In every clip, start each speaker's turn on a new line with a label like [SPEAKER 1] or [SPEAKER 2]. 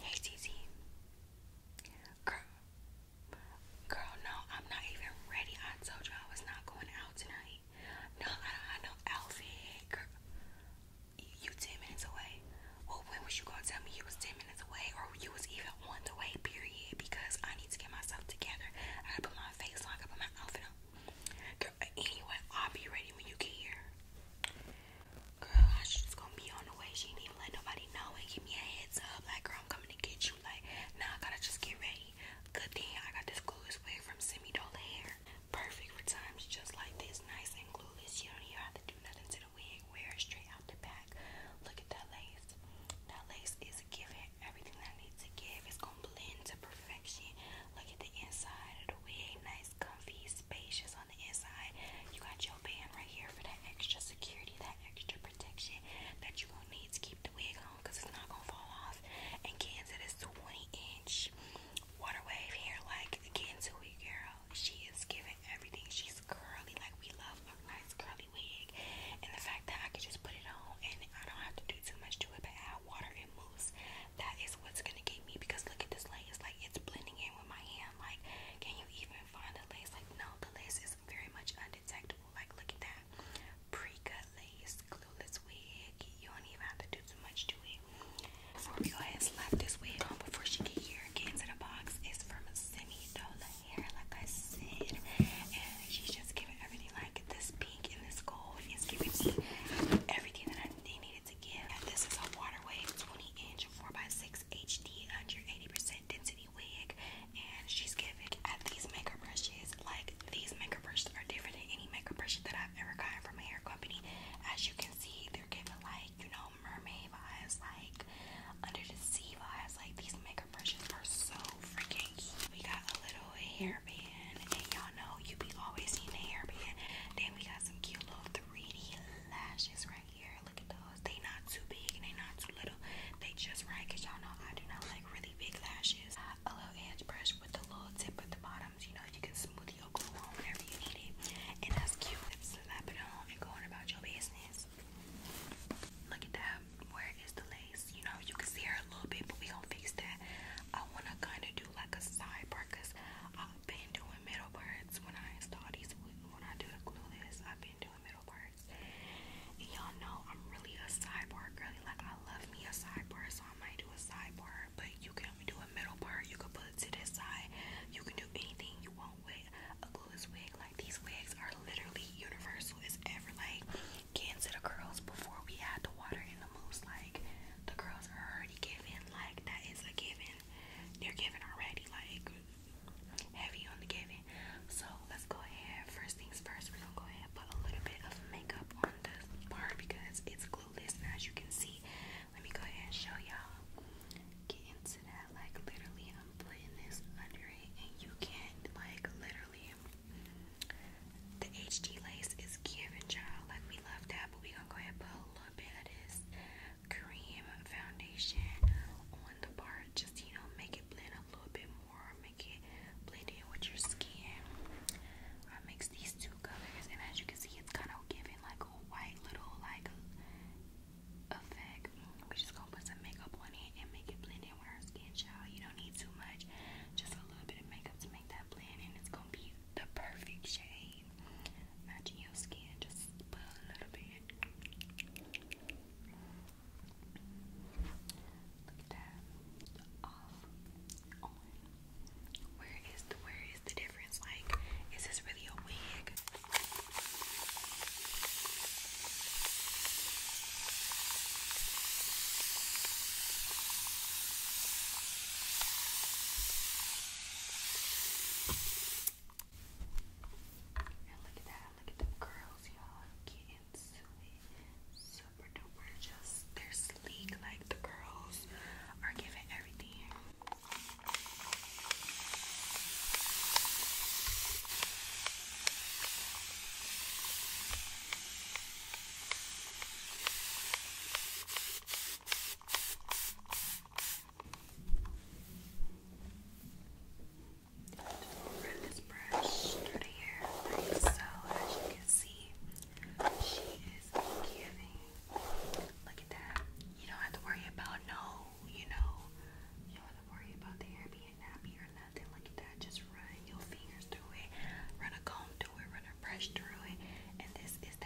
[SPEAKER 1] Hey Cece. Girl, girl, no, I'm not even ready. I told you I was not going out tonight. No, I don't have no outfit. Girl, you 10 minutes away. Well, when was you gonna tell me you was 10 minutes away or you was even on the way, period? Because I need to get myself together. I gotta put my face on, I gotta put my outfit on. Girl, anyway, I'll be ready when you get here. Girl, I was just gonna be on the way. She did even let nobody know and give me a heads up. Like, girl, I'm coming to get you. Like, now I gotta just get ready. Good thing I got this glueless wig from Semi Doll Hair. Perfect for times just like this. Nice and glueless. You don't even have to do nothing to the wig. Wear it straight out the back. Look at that lace. That lace is giving everything that I need to give. It's gonna blend to perfection. Look at the inside of the wig. Nice, comfy, spacious on you got your band right here for that extra security, that extra protection that you going need to keep the wig on it's not going fall off and get 20 inch water wave hair like get into it girl. She is giving everything. She's curly like we love a nice curly wig. And the fact that I could just put it on and I don't have to do too much to it but add water and mousse that is what's gonna get me because look at this lace, like it's blending in with my hand. Like, can you even find the lace? Like, no, the lace is very much undetectable. Like, look at that pre-cut lace, glueless wig. You don't even have to do too much to it. Before we go ahead and slap this wig on before she get here, get into the box. is from Semi Dola Hair, like I said, and she's just giving everything like this pink and this gold is giving me everything that I need it's And this is a Waterwave 20-inch 4x6 HD 180% density wig, and she's giving at these makeup brushes. Like these makeup brushes are different than any makeup brush that I've ever gotten from a hair company. As you can see, they're giving like you know mermaid eyes, like under the sea vibes. Like these makeup brushes are so freaking cute. We got a little hairband, and y'all know you be always seeing the hairband. Then we got some cute little 3D lashes right here. Look at those. They not too big and they not too little. They just right, cause y'all know I do not like really big lashes. A little edge brush with the little tip at the bottoms. You know you can smoothie or glue on whenever you need it, and that's cute. Let's slap it on and go on about your business. Look at that. Where is the lace? face. You know, you can see her a little bit, but we gonna fix that. I wanna kinda do like a side part, cause I've been doing middle parts when I install these. When I do the glueless, I've been doing middle parts. And y'all know I'm really a side part girly. Like I love me a side part, so I might do a side part. But you can do a middle part. You can put it to this side. You can do anything you want with a glueless wig. Like these wigs are literally universal. It's ever like Kids to the girls before we had the water in the moose. Like the girls are already given. Like that is a given. They're given already. Like heavy on the giving. So let's go ahead. First things first. We're gonna go ahead put a little bit of makeup on this part because it's glueless. And as you can see, let me go ahead and show y'all. Get into that. Like literally, I'm putting this under it, and you can't like literally. The HD lace is giving, you Like, we love that, but we gonna go ahead and put a little bit of this cream foundation on the part. Just, you know, make it blend a little bit more. Make it blend in with your skin. I mix these two colors, and as you can see, it's kind of giving, like, a white little, like, effect we just gonna put some makeup on it and make it blend in with our skin, child. You don't need too much, just a little bit of makeup to make that blend, and it's gonna be the perfect shade. Matching your skin, just put a little bit. Look at that. Off, on. Where is the where is the difference? Like, is this really a wig? And look at that, look at them curls, y'all. Get into it. Super duper just they're sleek, like the curls are giving everything run this brush through the so. As you can see, she is giving. Look at that. You don't have to worry about no, you know, worry about the hair being nappy or nothing like that. Just run your fingers through it, run a comb through it, run a brush through it, and this is the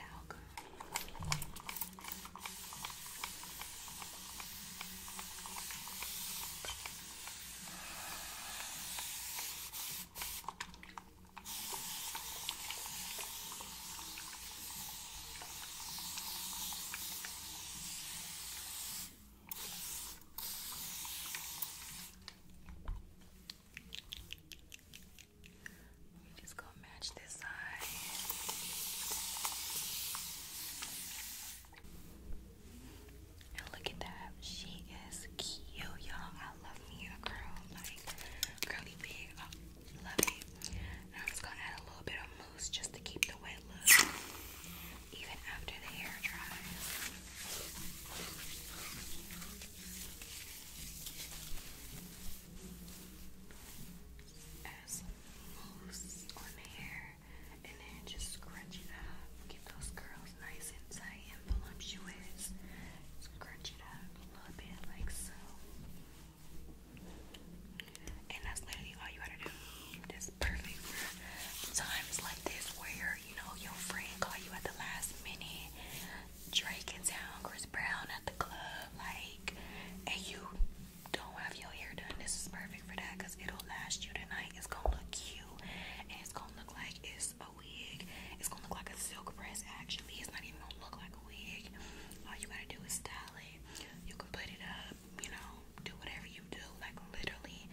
[SPEAKER 1] we just going match this side. And look at that. She is cute, y'all. I love me a girl like curly big. Uh, I'm just gonna add a little bit of mousse just to keep the wet look, even after the hair dries. Add some mousse on the hair, and then just scrunch it up. Get those curls nice and tight and voluptuous. Scrunch it up a little bit like so. And that's literally all you gotta do. That's perfect for times like this where you know your friend call you at the last minute. Drake in town, Chris Brown at the club, like, and you don't have your hair done. This is perfect for that because it'll last you tonight. It's gonna look cute, and it's gonna look like it's a wig. It's gonna look like a silk press. Actually, it's not even gonna look like a wig. All you gotta do is style it. You can put it up, you know, do whatever you do. Like literally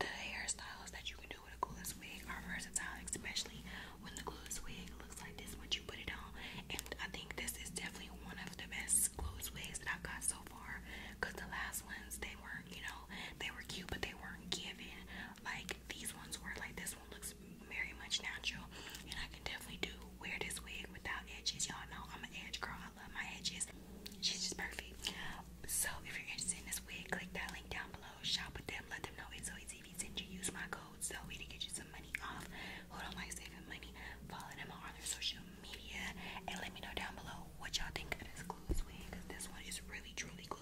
[SPEAKER 1] the hairstyles that you can do with a glueless wig are versatile, especially when the glueless wig looks like this when you put it on. And I think this is definitely one of the best glueless wigs that I've got so far. Cause the last ones they weren't, you know, they were cute but they weren't giving. Like these ones were like this one looks very much natural and I can definitely do wear this wig without edges y'all know I'm an edge girl I love my edges she's just perfect so if you're interested in this wig click that link down below shop with them let them know it's always easy you use my code so we to get you some money off who don't like saving money follow them on their social media and let me know down below what y'all think of this glue wig because this one is really truly cool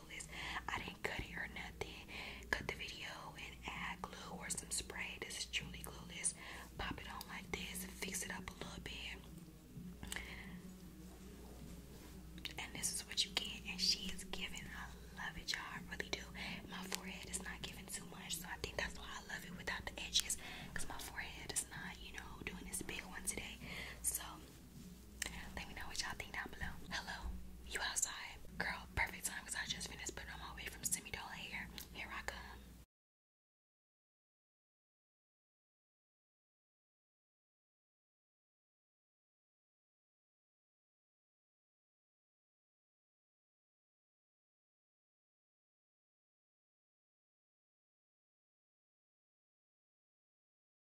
[SPEAKER 1] I didn't cut it or nothing. Cut the video and add glue or some spray. This is truly clueless. Pop it on like this, fix it up a little bit. And this is what you get. And she is giving. I love it, y'all. I really do. My forehead is not giving too much, so I think that's why I love it without the edges. Because my forehead is not, you know, doing this big one today. So let me know what y'all think down below. Hello, you outside? Girl, perfect time because I just finished putting on my way from Semidola here. Here I come.